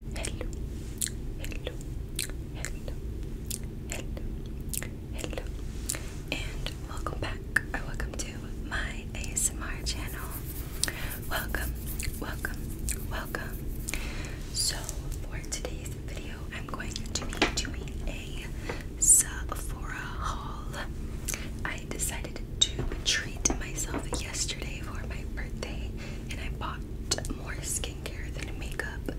Hello, hello, hello, hello, hello, and welcome back or welcome to my ASMR channel. Welcome, welcome, welcome. So, for today's video, I'm going to be doing a Sephora haul. I decided to treat myself yesterday for my birthday, and I bought more skincare than makeup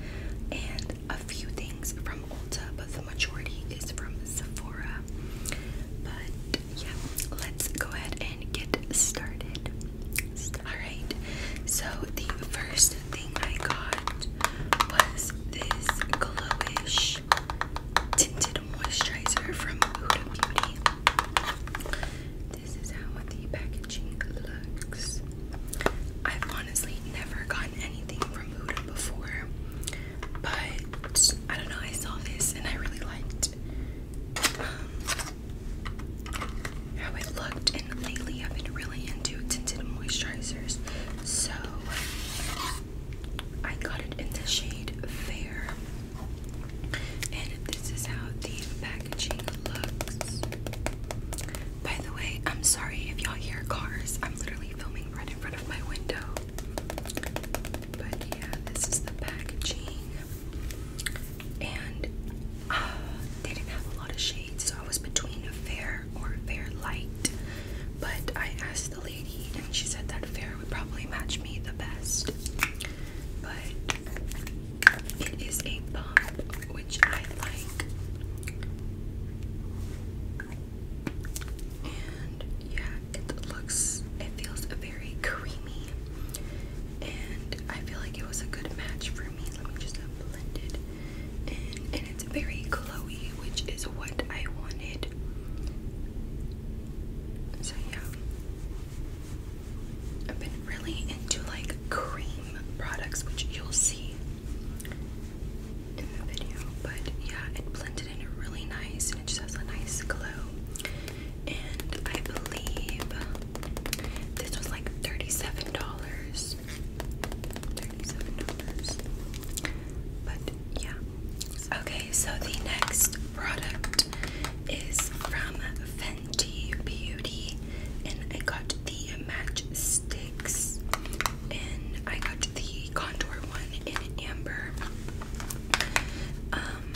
and a few things from Ulta, but the majority is from Sephora. But yeah, let's go ahead and get started. Alright, so the first thing I got was this glowish tinted moisturizer from Huda Beauty. This is how the packaging looks. I've honestly never gotten anything from Huda before, but I don't know, I saw this and I really liked um, how it looked, and lately I've been really into tinted moisturizers, so I got it in the shade Fair, and this is how the packaging by the way, I'm sorry if y'all hear cars. I'm literally filming right in front of my window. But yeah, this is the packaging. And uh, they didn't have a lot of shades, so I was between fair or fair light. But I asked the lady, and she said that fair would probably match me the best. But it is a bump, which I like. And yeah, it looks, it feels very creamy. And I feel like it was a good match for me. Let me just blend it And it's very glowy, which is what I wanted. So yeah. I've been really into like cream products, which you'll see in the video. But yeah, it blended in really nice and it just has a nice glow. And I believe this was like $37. $37. But yeah. Okay, so the next product is from Fenty Beauty, and I got the matchsticks, and I got the contour one in amber. Um,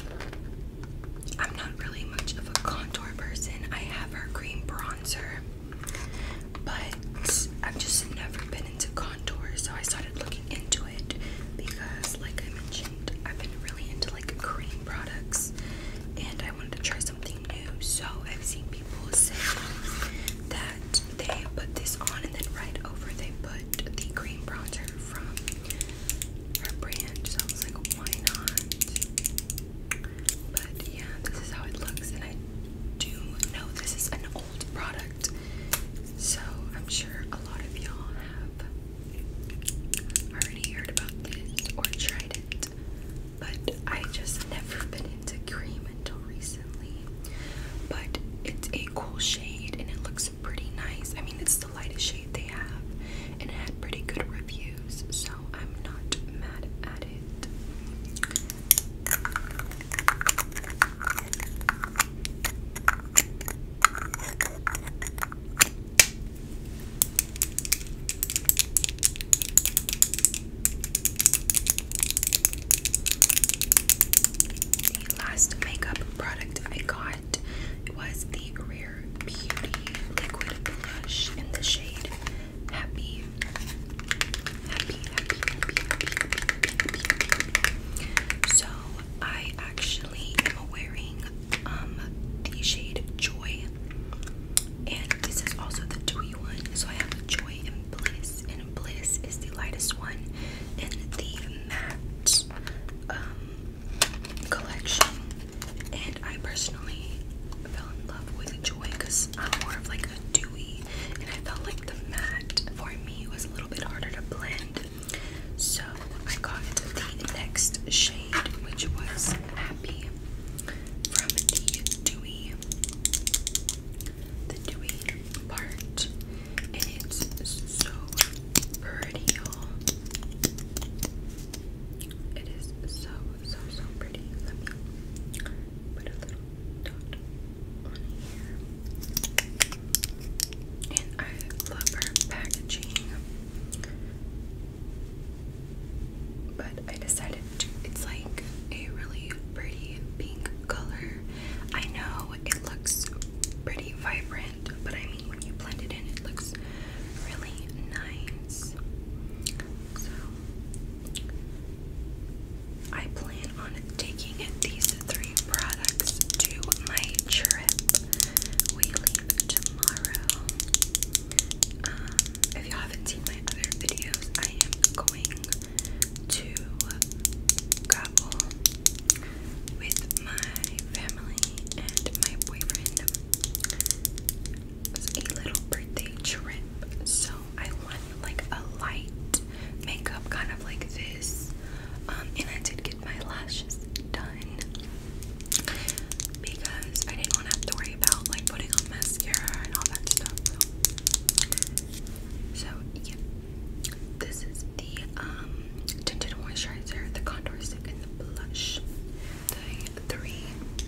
I'm not really much of a contour person. I have her cream bronzer, but I've just never been into contour, so I started looking into it because, like I mentioned, I've been really into like cream products, and I wanted to try something new. So I've seen people say that they put this on and then right over they put the cream bronzer from her brand. So I was like, why not? But yeah, this is how it looks, and I do know this is an old product. So I'm sure a lot of y'all have already heard about this or tried it but I just never been into cream until recently. But it's a cool shade and it looks pretty nice. I mean, it's the lightest shade they have, and it had pretty good reviews, so I'm not mad at it. The last makeup product I got was the Rare Beauty Liquid Blush in the shade Happy. So I actually am wearing um, the shade Joy. And this is also the dewy one. So I have Joy and Bliss. And Bliss is the lightest one in the matte um, collection. And I personally fell in love with Joy because I'm more of like a dewy. And I felt like the matte for me was a little bit harder to blend. So I got the next shade, which was Happy from the dewy, the dewy part, and it's so pretty, y'all. It is so so so pretty. Let me put a little dot on here. And I love her packaging. But I decided to, it's like a really pretty pink color. I know it looks pretty vibrant, but I mean, when you blend it in, it looks really nice. So, I plan on taking these three products to my trip. We leave tomorrow. Um, if you haven't seen my other videos, I am going to travel with my family and my boyfriend. It's a little birthday trip, so I want like a light makeup kind of like this. Um, and I did get my lashes done because I didn't want to have to worry about like putting on mascara and all that stuff. So, this is the um, tinted moisturizer, the contour stick, and the blush. The three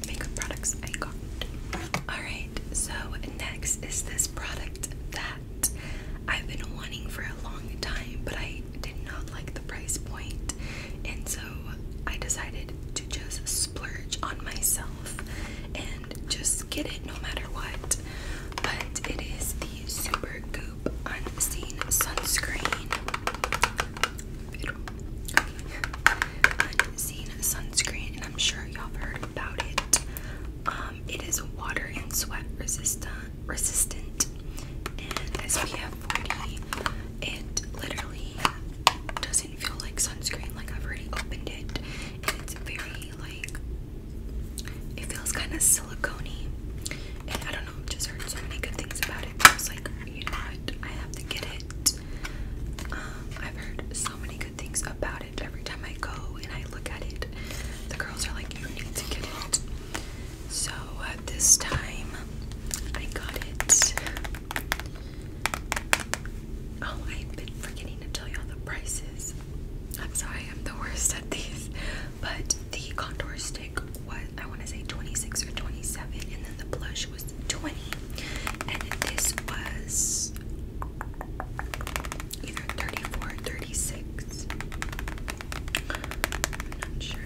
makeup products I got. Alright, so next is this product that I've been wanting for a long time, but I did not like the price point. And so I decided to just splurge on myself and just get it no matter what. But it is the Super Goop Unseen Sunscreen. Unseen Sunscreen, and I'm sure y'all have heard about it. Um, it is water and sweat resistant, resistant, and SPF 40. It literally does does feel like sunscreen. Like I've already opened it, and it's very like it feels kind of silicone And I don't know, I've just heard so many good things about it. I was like, you know what? I have to get it. Um, I've heard so many good things about it. Every time I go and I look at it, the girls are like, you need to get it. So uh, this time I got it. Oh, I've been forgetting to tell y'all the prices. I'm sorry, I'm the worst at these. But the contour stick was, I want to say 26 or 27, and then the blush was 20. And this was either 34 or 36. not sure.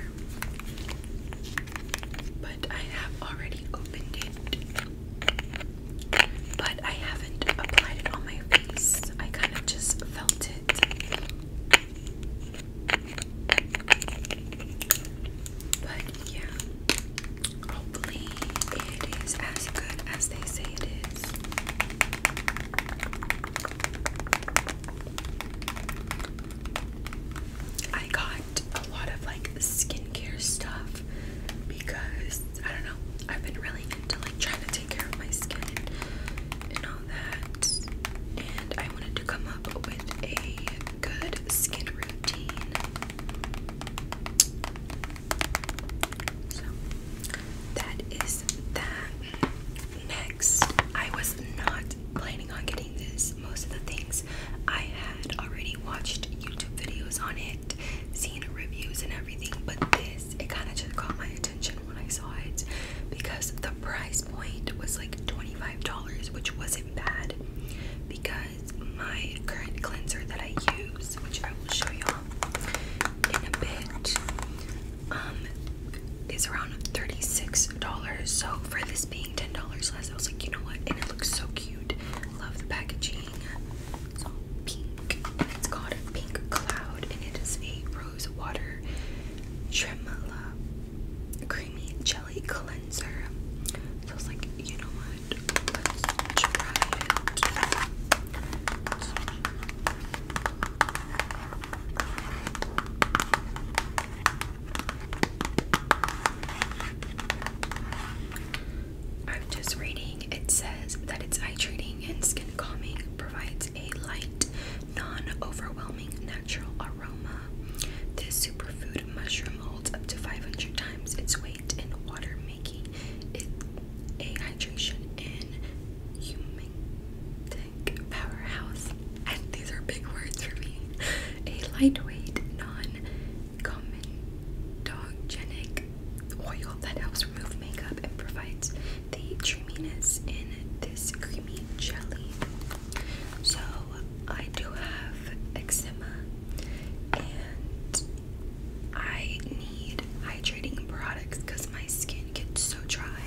But I have already opened it. But I haven't applied it on my face. I kind of just felt it. But yeah, hopefully it is as good as they say it is. I got a lot of like skincare stuff because I don't know, I've been really into like trying to take care of my skin and all that. And I wanted to come up with a good skin routine. So that is that. Next, I was not planning on getting this most of the things I had already watched YouTube videos on it, seen reviews and everything, but this it kind of just caught my attention when I saw it because the price point was like $25, which wasn't bad because my current cleanser that I use, which I will show y'all in a bit, um, is around $36. So for this being $10 less, I was like, you know what? And it looks so cute love the packaging. It's all pink. It's called a Pink Cloud, and it is a rose water tremola creamy jelly cleanser. So like, you know what? I'm just reading. It says that it's eye treating and skin calming, provides a light, non overwhelming natural aroma. This superfood mushroom holds up to 500 times its weight in water, making it a hydration and humantic powerhouse. And these are big words for me. A lightweight, non comedogenic oil that helps remove makeup and provides the dreaminess in this creamy jelly. So I do have eczema and I need hydrating products because my skin gets so dry.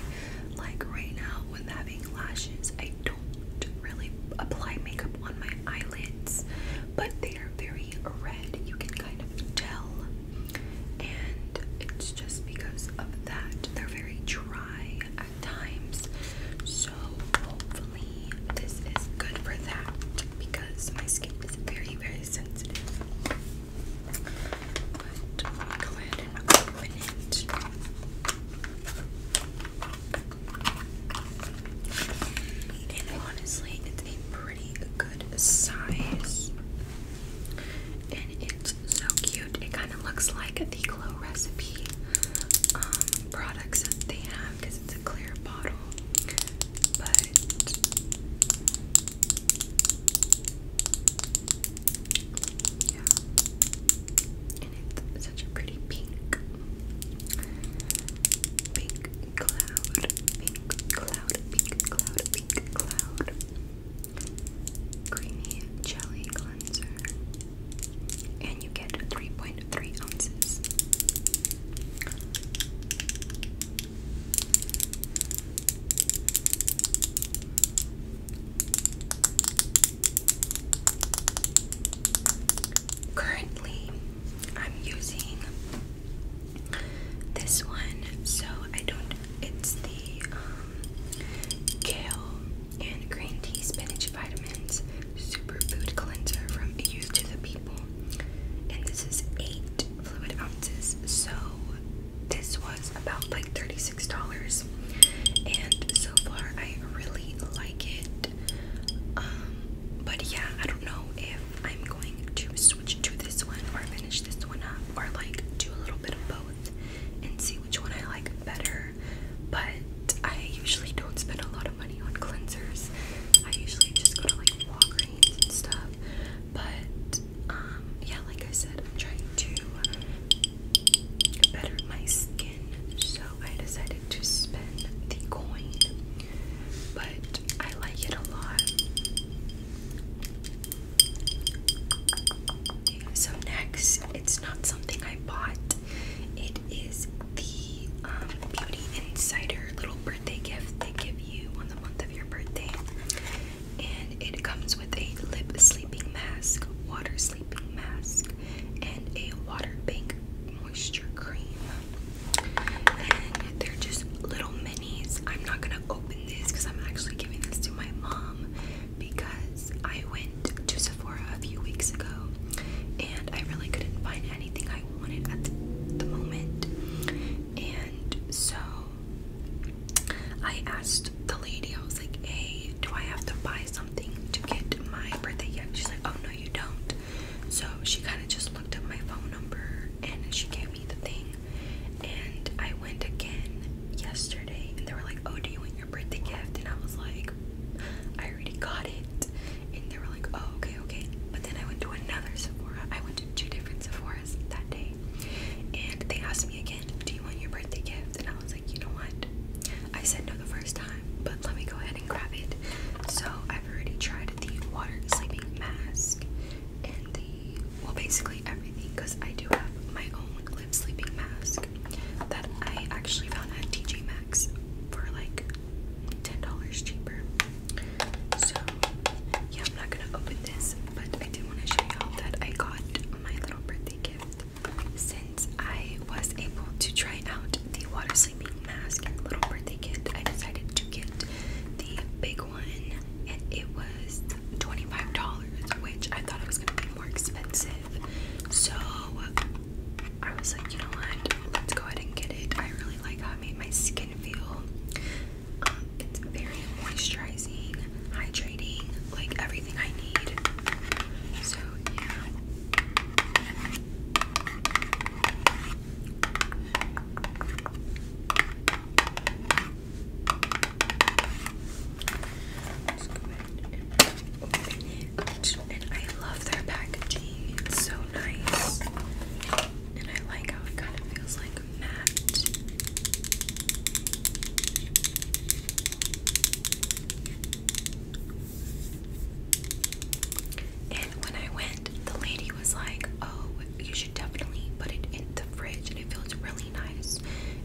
Like right now with having lashes, I do don't really apply makeup on my eyelids, but they are very red. You can kind of tell. And it's just because of that. They're very dry at times. So hopefully this is good for that because my skin is very, very sensitive. But go ahead and open it. And honestly, it's a pretty good size. And it's so cute. It kind of looks like the Glow Recipe um, products they have because it's a clear bottle. But yeah. And it's such a pretty pink. Pink cloud, pink cloud, pink cloud, pink cloud. Creamy jelly cleanser. And you get 3.3 ounces currently I'm using this one, so I don't. It's the um, kale and green tea spinach vitamins superfood cleanser from Youth to the People, and this is eight fluid ounces. So this was about like thirty six dollars, and so far I really like it. Um, but yeah, I don't know if I'm going to switch to this one or finish this one up or like do a little bit of both and see which one I like better. But I usually don't spend a lot of money on cleansers. I usually just go to like Walgreens and stuff. But um, yeah, like I said, I'm trying to better my skin, so I decided to spend the coin, but I like it a lot. So, next, it's not something I bought, it is the um, Beauty Insider little birthday gift they give you on the month of your birthday. And it comes with a lip sleeping mask, water sleeping mask, and a water bank moisture cream. And they're just little minis. I'm not gonna open this because I'm actually giving this to my mom because I went to Sephora a few weeks ago and I really couldn't find anything I wanted at the moment. And so I asked the lady, I was like, hey, do I have to buy something to get my birthday gift? She's like, oh no, you don't. So she kind of just looked up my phone number and she gave me the thing. And I went again yesterday and they were like, Oh, do you want your birthday gift? And I was like, I already got it. And they were like, Oh, okay, okay. But then I went to another Sephora. I went to two different Sephora's that day. And they asked me again, Do you want your birthday gift? And I was like, You know what? I said no the first time but let me go ahead and grab it. So I've already tried the water sleeping mask and the well, basically everything because I do have my own lip sleeping mask that I actually found at TJ Maxx for like ten dollars cheaper. So yeah, I'm not gonna open this, but I did want to show y'all that I got my little birthday gift since I was able to try out the water sleeping mask and little birthday kit, I decided to get the big one, and it was $25, which I thought it was gonna be more expensive. So I was like, you know what? Let's go ahead and get it. I really like how it made my skin feel. Um, it's very moisturizing, hydrating, like everything I need. So yeah. Let's go ahead and open it. And I love their packaging. It's so nice. And I like how it kind of feels like matte. And when I went, the lady was like, Oh, you should definitely put it in the fridge and it feels really nice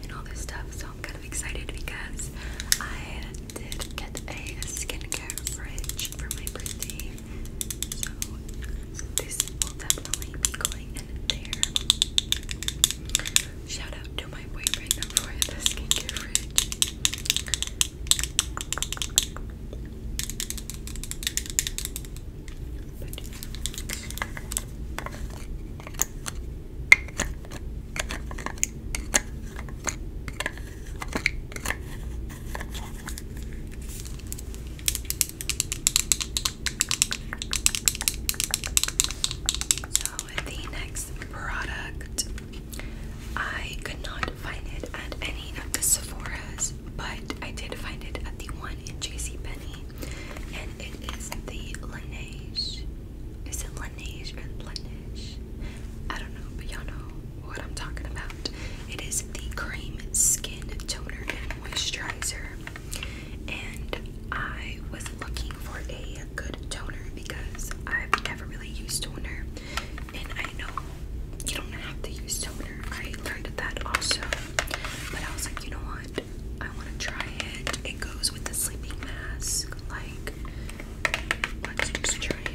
and all this stuff. So I'm kind of excited because I did get a skincare fridge for my birthday. So this will definitely be going in there. Shout out to my boyfriend for the skincare fridge. So the next product I could not find it at any of the Sephora's, but I did find it at the one in J.C. Penney, and it is the Laneige. Is it Laneige or Laneige? I don't know, but y'all know what I'm talking about. It is the cream skin toner and moisturizer, and I was looking for a good toner because I've never really used toner. And I know you don't have to use toner. I learned that also. But I was like, you know what? I want to try it. It goes with the sleeping mask. Like, let's just try it.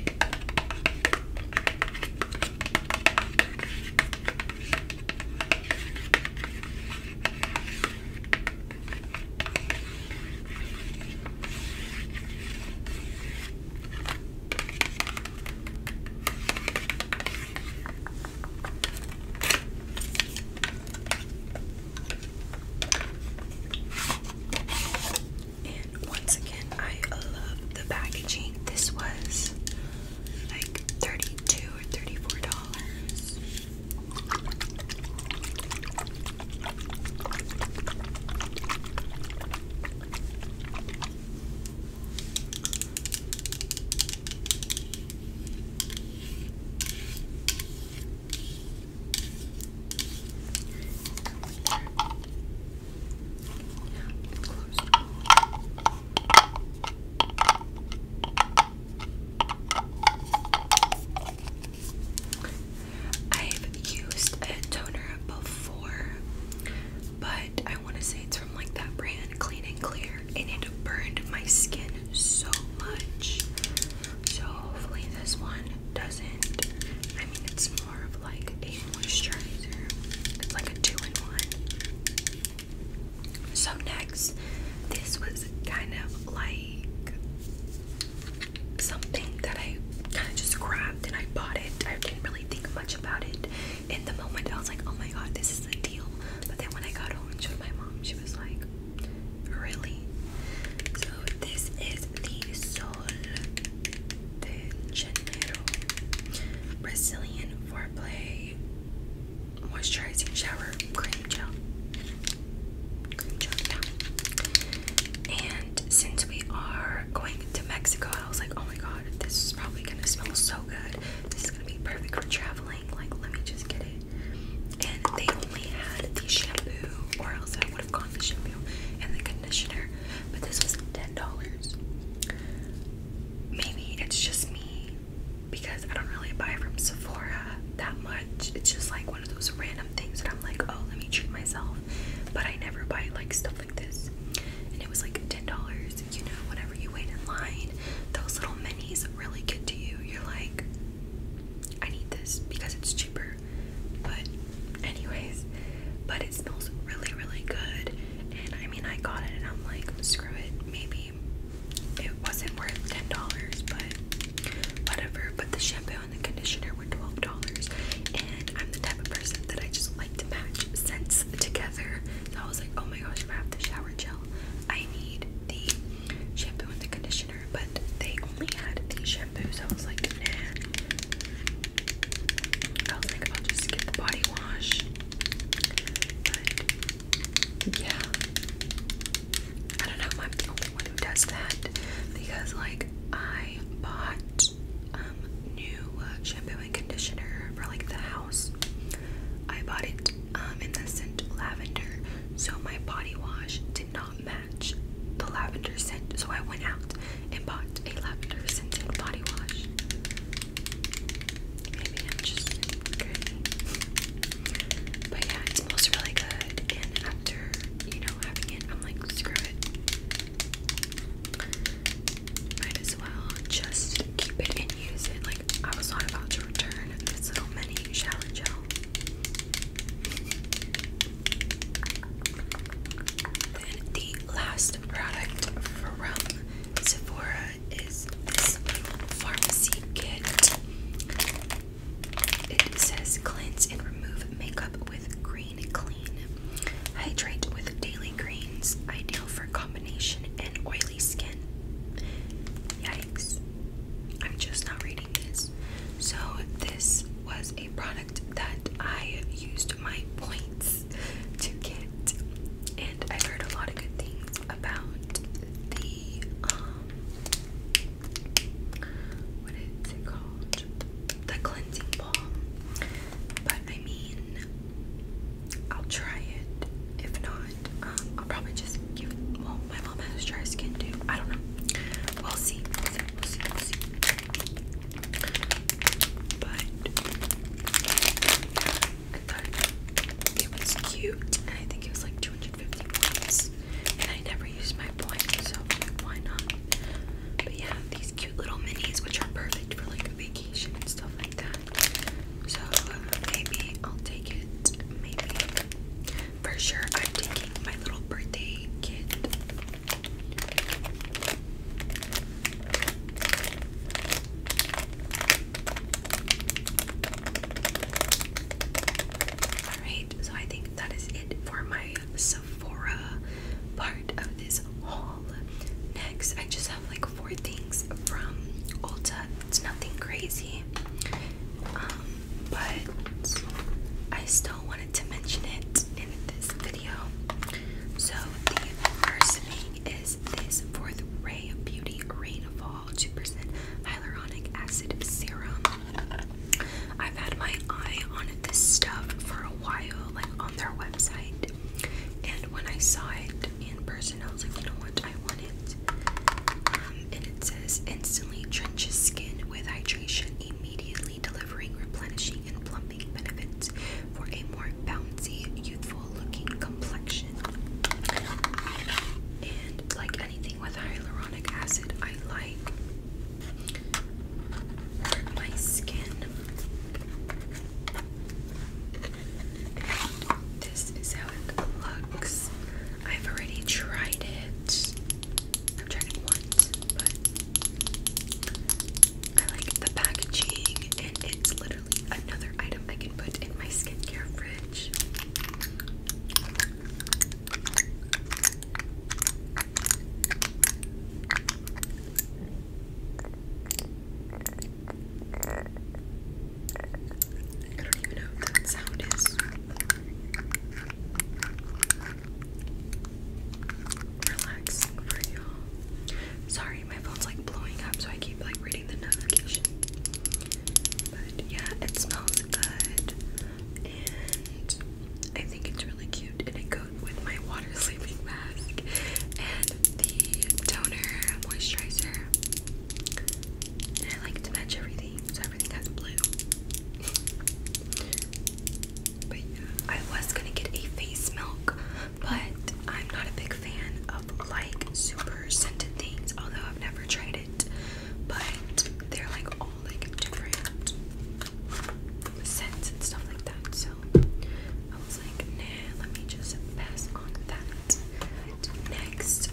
And once again, I love the packaging. This was like $32 or $34. I've used a toner before, but I want to say it's from like that brand Clean and Clear, and it burned my skin so much. So hopefully this one doesn't. I mean, it's more of like a moisturizer. It's like a two-in-one. So next, this was kind of like something that I kind of just grabbed and I bought it. I didn't really think much about it in the moment I was like, oh my god, this is the deal. But then when I got home and showed my mom, she was like, really? So this is the Sol de Janeiro Brazilian Foreplay Moisturizing Shower Cream Gel. Cream gel, And since we are going to Mexico, I was like, oh my god this is probably gonna smell so good. This is gonna be perfect for traveling. Like, let me just get it. And they only had the shampoo, or else I would have gone the shampoo and the conditioner. But this was $10. Maybe it's just me because I don't really buy from Sephora that much. It's just like one of those random things that I'm like, oh, let me treat myself. But I never buy like stuff stuff like this. And it was like $10. You know, whenever you wait in line, those little minis really get to you. You're like, I need this because it's cheaper. But, anyways, but it smells really, really good. And I mean, I got it and I'm like, screw it. Maybe it wasn't worth $10, but whatever. But the shampoo and the conditioner were $12. And I'm the type of person that I just to match scents together. So I was like, oh my gosh, I have the shower gel, I need the shampoo and the conditioner. But they only had the shampoos. so I was like, nah. I was like, I'll just get the body wash. But yeah. I don't know I'm the only one who does that because like I bought um, new uh, shampoo and conditioner for like the house. I bought it um, in the scent lavender, so my body wash did not match the lavender scent. So I went out and bought a lavender scented body wash. Maybe I'm just crazy, but yeah, it smells really good. And after you know having it, I'm like screw it might as well just keep it and use it. Like, I was not about to return this little mini shower gel. the last product from Sephora is this pharmacy kit. It says cleanse and remove makeup with green clean. Hydrate with daily greens, ideal for combination and oily skin. Yikes. I'm just not reading this. So this was a product that I used my points to get. And I've heard a lot of good things about the um what is it called? The cleansing balm. But I mean I'll try it. If not, um, I'll probably just give. Well, my mom has dry skin too. I don't know. We'll see. We'll see. We'll see. But I thought it was cute, and I think it was like 250 points. And I never used my points, so why not? But yeah, these cute little minis, which are perfect for like a vacation and stuff so um, maybe I'll take it. Maybe. For sure, I'm taking my little birthday kit. Alright, so I think that is it for my Sephora part of this haul. Next, I just have like four things from Ulta. It's nothing crazy, um, but I still wanted to mention it in this video. So the first thing is this Fourth Ray Beauty Rainfall 2% Hyaluronic Acid Serum. I've had my eye on this stuff for a while, like on their website. And when I saw it in person, I was like, you know what? I want it. Um, and it says instantly trenches skin with hydration, immediately delivering replenishing and plumping benefits for a more bouncy, youthful-looking complexion. And like anything with hyaluronic acid, I like my skin. This is how it looks. I've already tried it. I've tried it once, I like the packaging, and it's literally another item I can put in my skincare fridge. I don't even know what that sound is. for y'all. Sorry, my phone's like blowing up, so I keep like reading the notification. But yeah, it smells good, and I think it's really cute, and it goes with my sleeping mask and the toner moisturizer. And I like to match everything, so everything has blue. but yeah, I was gonna get a face milk, but I'm not a big fan of like super scented things, although I've never tried it. But they're like all like different scents and stuff like that, so I Next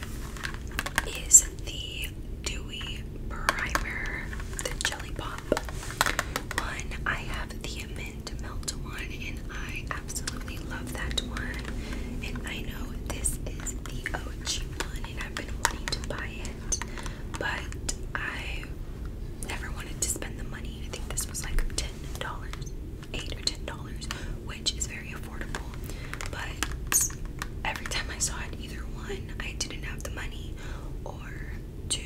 is the Dewy Primer, the Jelly Pop one. I have the Mint Melt one, and I absolutely love that one. And I know this is the OG one, and I've been wanting to buy it, but I never wanted to spend the money. I think this was like $10 eight or ten dollars, which is very affordable. But every time I saw it, either one, I didn't have the money, or two,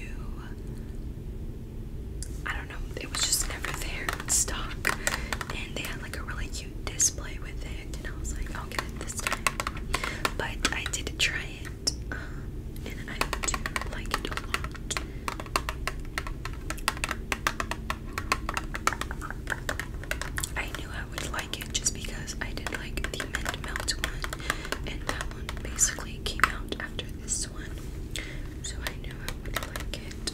I don't know, it was just never there in stock. And they had like a really cute display with it, and I was like, I'll get it this time. But I did try it, um, and I do like it a lot. I knew I would like it just because I did like the mint melt one, and that one basically came out after this one, so I knew I would like it.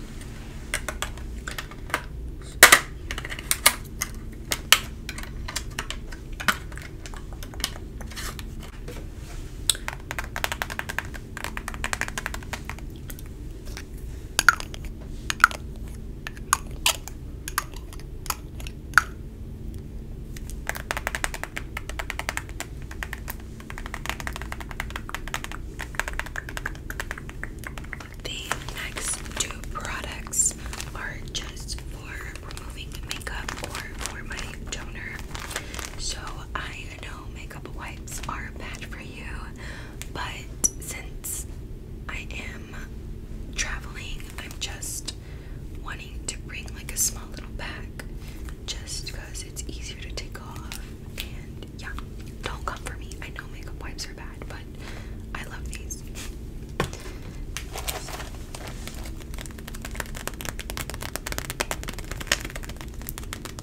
The next two products are just for removing makeup or for my toner. So I makeup wipes are bad for you, but since I am traveling, I'm just wanting to bring like a small little bag just because it's easier to take off. And yeah, don't come for me. I know makeup wipes are bad, but I love these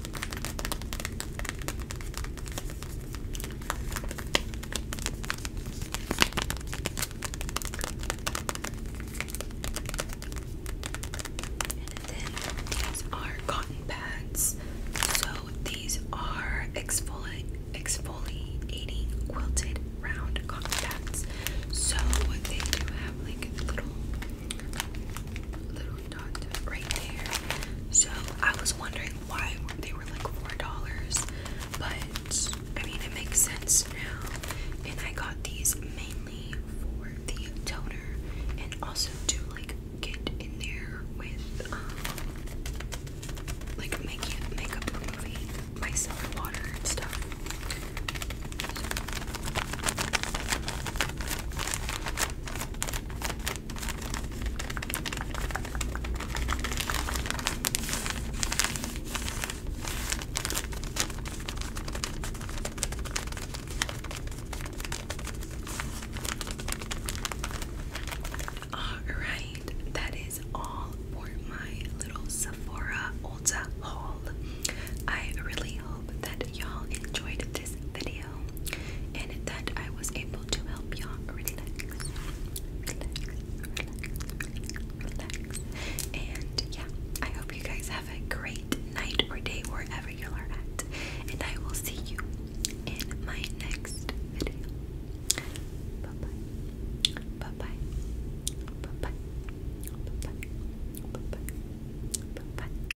then these are cotton pads. So these are exfoliating quilted round cotton pads. So they do have like little little right there. So I was wondering why they were like four dollars, but I mean it makes sense now. And I got these mainly for the toner and also to like get in there with um like making makeup removing micellar water and stuff. Alright, that is all for my little Sephora Ulta haul. I really hope that y'all enjoyed this video and that I was able to help y'all relax, And yeah, I hope you guys have a great night or day wherever you are at. And I will see you in my next video. Bye bye. Bye bye. Bye bye. Bye bye. Bye bye. Bye bye.